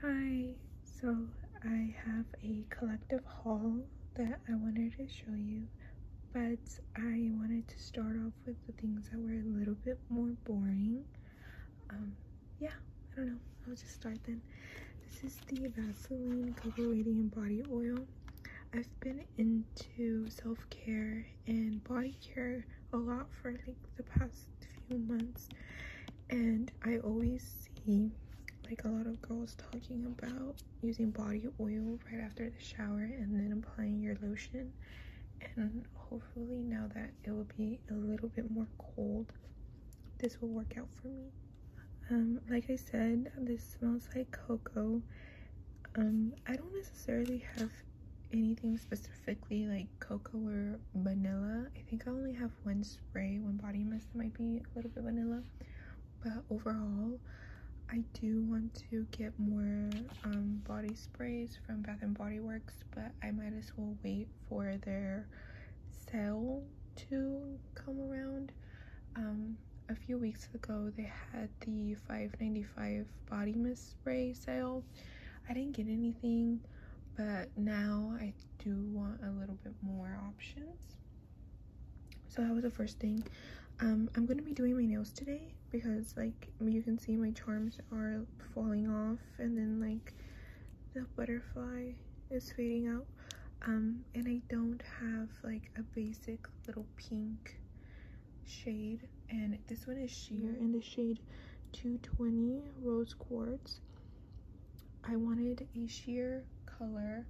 Hi, so I have a collective haul that I wanted to show you, but I wanted to start off with the things that were a little bit more boring. Um, yeah, I don't know, I'll just start then. This is the Vaseline Cocoa Radiant Body Oil. I've been into self-care and body care a lot for like the past few months and I always see like a lot of girls talking about using body oil right after the shower and then applying your lotion and hopefully now that it will be a little bit more cold this will work out for me um, like i said this smells like cocoa um, i don't necessarily have anything specifically like like cocoa or vanilla i think i only have one spray one body mist that might be a little bit vanilla but overall i do want to get more um, body sprays from bath and body works but i might as well wait for their sale to come around um, a few weeks ago they had the 5.95 body mist spray sale I didn't get anything, but now I do want a little bit more options. So that was the first thing. Um, I'm going to be doing my nails today because like you can see my charms are falling off and then like the butterfly is fading out. Um, and I don't have like a basic little pink shade and this one is sheer in the shade 220 Rose Quartz. I wanted a sheer color.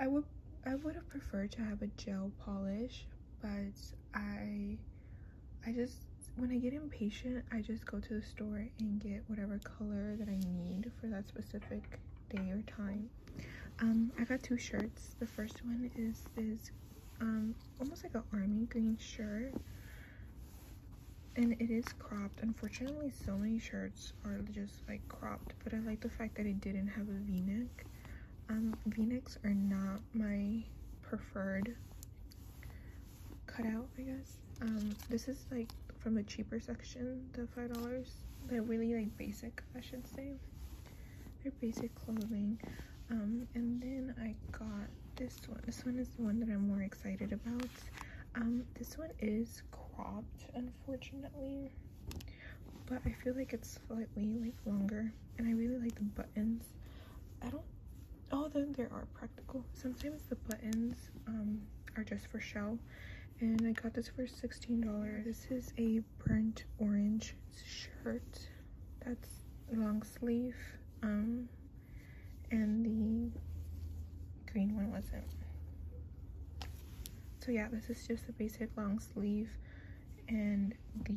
I would I would have preferred to have a gel polish, but I I just when I get impatient, I just go to the store and get whatever color that I need for that specific day or time. Um, I got two shirts. The first one is this um, almost like an army green shirt and it is cropped unfortunately so many shirts are just like cropped but i like the fact that it didn't have a v-neck um, v-necks are not my preferred cutout i guess um, this is like from the cheaper section the five dollars they're really like basic i should say they're basic clothing um, and then I got this one. This one is the one that I'm more excited about. Um, this one is cropped, unfortunately. But I feel like it's slightly like longer. And I really like the buttons. I don't oh then there are practical. Sometimes the buttons um are just for show. And I got this for $16. This is a burnt orange shirt that's long sleeve. Um and the green one wasn't. So yeah, this is just a basic long sleeve and the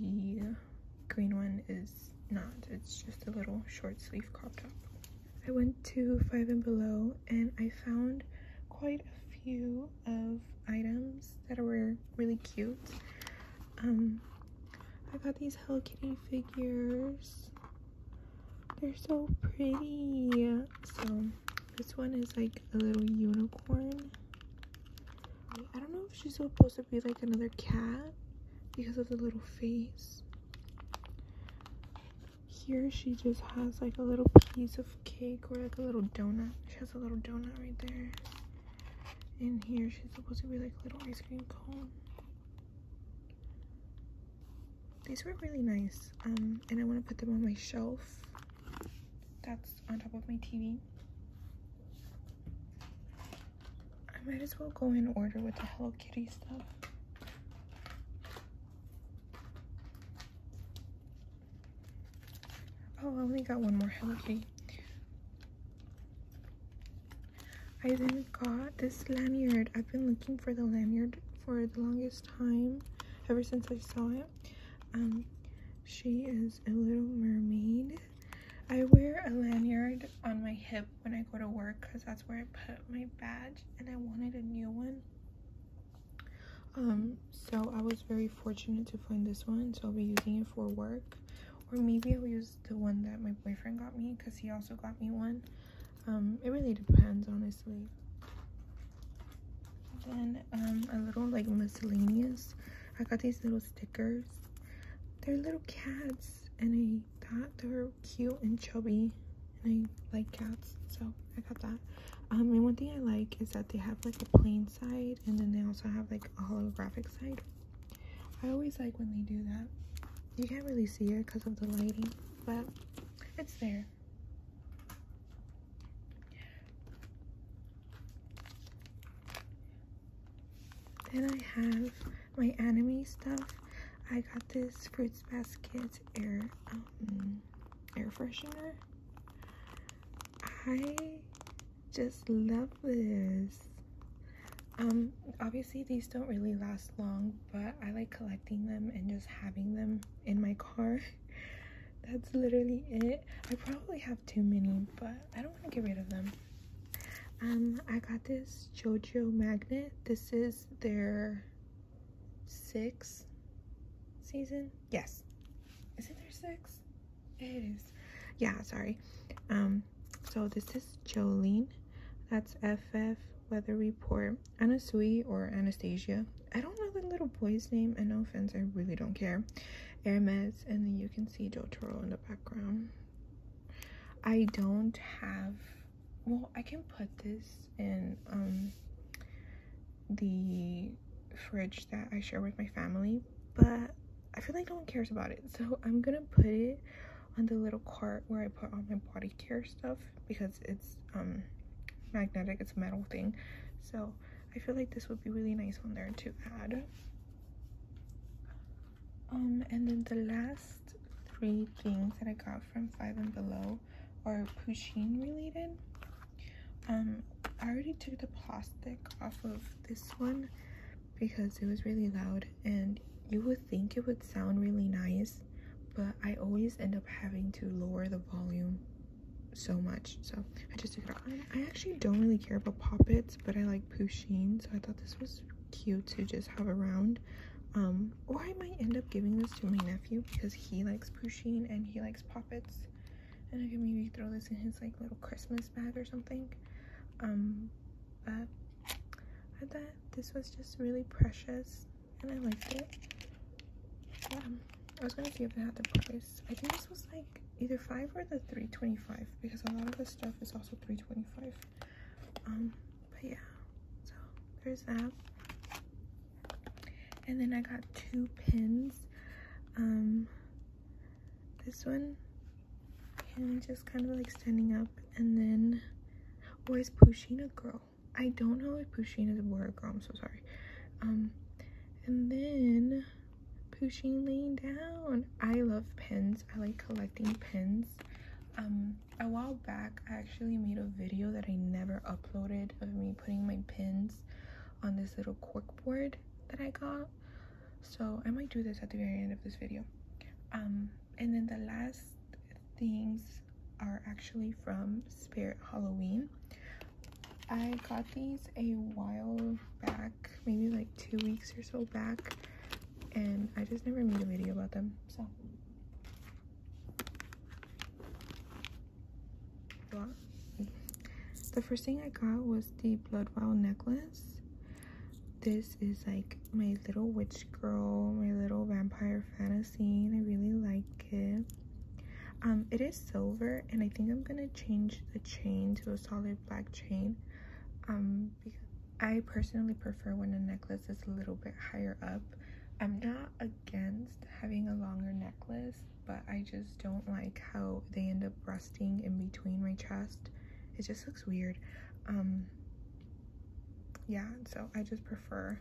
green one is not. It's just a little short sleeve crop top. I went to Five and Below and I found quite a few of items that were really cute. Um, I got these Hello Kitty figures. They're so pretty. So this one is like a little unicorn. I don't know if she's supposed to be like another cat because of the little face. Here she just has like a little piece of cake or like a little donut. She has a little donut right there. And here she's supposed to be like a little ice cream cone. These were really nice, um, and I want to put them on my shelf that's on top of my TV. I might as well go in order with the Hello Kitty stuff. Oh, I only got one more Hello Kitty. I then got this lanyard. I've been looking for the lanyard for the longest time, ever since I saw it. Um, she is a little mermaid. I wear a lanyard on my hip when I go to work because that's where I put my badge and I wanted a new one. Um, so I was very fortunate to find this one, so I'll be using it for work. Or maybe I'll use the one that my boyfriend got me because he also got me one. Um, it really depends, honestly. Then um, a little like miscellaneous. I got these little stickers. They're little cats, and I thought they are cute and chubby, and I like cats, so I got that. Um, and one thing I like is that they have like a plain side, and then they also have like a holographic side. I always like when they do that. You can't really see it because of the lighting, but it's there. Then I have my anime stuff. I got this Fruits Basket air um, air freshener. I just love this um obviously these don't really last long but i like collecting them and just having them in my car that's literally it i probably have too many but i don't want to get rid of them um i got this jojo magnet this is their sixth season yes is it their sixth it is yeah sorry um so this is jolene that's ff weather report anasui or anastasia i don't know the little boy's name and no offense i really don't care hermes and then you can see jotaro in the background i don't have well i can put this in um the fridge that i share with my family but I feel like no one cares about it. So I'm gonna put it on the little cart where I put all my body care stuff because it's um magnetic, it's a metal thing. So I feel like this would be really nice on there to add. Um, and then the last three things that I got from Five and Below are Pusheen related. Um, I already took the plastic off of this one because it was really loud and you would think it would sound really nice but I always end up having to lower the volume so much so I just took it off. I actually don't really care about poppets but I like Pusheen so I thought this was cute to just have around um or I might end up giving this to my nephew because he likes Pusheen and he likes poppets and I can maybe throw this in his like little Christmas bag or something. Um, but I thought this was just really precious and I liked it. Um, I was gonna see if I had the price. I think this was like either five or the 325 because a lot of the stuff is also 325. Um, but yeah, so there's that. And then I got two pins. Um, this one and just kind of like standing up and then or pushing a girl? I don't know if pushing is a boy or girl, I'm so sorry. Um and then pushing laying down. I love pins. I like collecting pins. Um a while back I actually made a video that I never uploaded of me putting my pins on this little cork board that I got so i might do this at the very end of this video um, and then the last things are actually from spirit halloween i got these a while back maybe like two weeks or so back and i just never made a video about them so the first thing i got was the blood wow necklace this is like my little witch girl my little vampire fantasy and i really like it um, it is silver and i think i'm gonna change the chain to a solid black chain um, i personally prefer when a necklace is a little bit higher up i'm not against having a longer necklace but i just don't like how they end up in between my chest it just looks weird um, yeah so i just prefer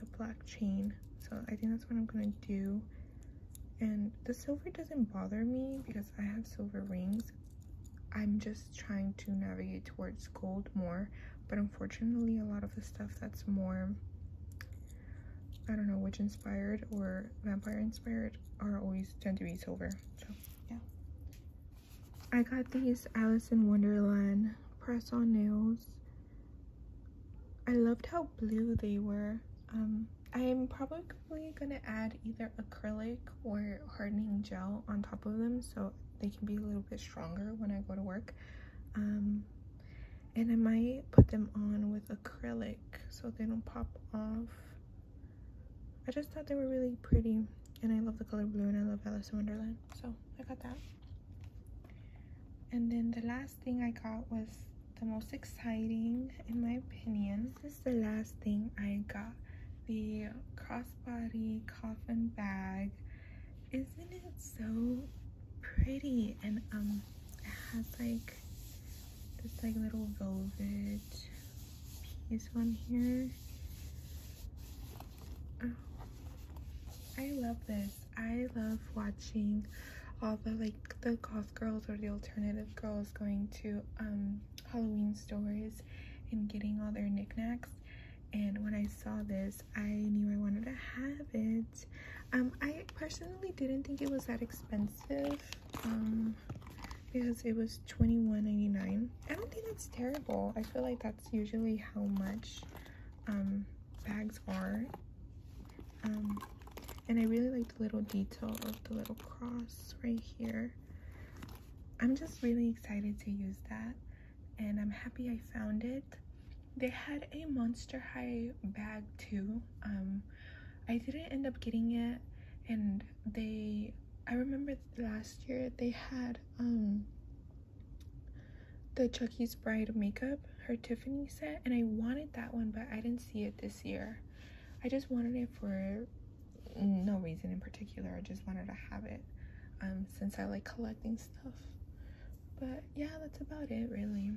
the black chain so i think that's what i'm gonna do and the silver doesn't bother me because i have silver rings i'm just trying to navigate towards gold more but unfortunately a lot of the stuff that's more I don't know, which inspired or vampire inspired are always tend to be silver. So yeah. I got these Alice in Wonderland press on nails. I loved how blue they were. Um, I'm probably gonna add either acrylic or hardening gel on top of them so they can be a little bit stronger when I go to work. Um, and I might put them on with acrylic so they don't pop off I just thought they were really pretty and I love the color blue and I love Alice in Wonderland. So I got that. And then the last thing I got was the most exciting in my opinion. This is the last thing I got. The crossbody coffin bag. Isn't it so pretty? And um it has like this like little velvet piece on here. Oh, I love this. I love watching all the like the goth girls or the alternative girls going to um, Halloween stores and getting all their knickknacks and when I saw this I knew I wanted to have it um, I personally didn't think it was that expensive um, because it was $21.99. I don't think that's terrible. I feel like that's usually how much um, bags are. Um, and I really like the little detail of the little cross right here. I'm just really excited to use that and I'm happy I found it. They had a Monster High bag too um, I didn't end up getting it, and they. I remember last year they had um the Chucky's Bride makeup, her Tiffany set, and I wanted that one, but I didn't see it this year. I just wanted it for no reason in particular. I just wanted to have it um, since I like collecting stuff. But yeah, that's about it, really.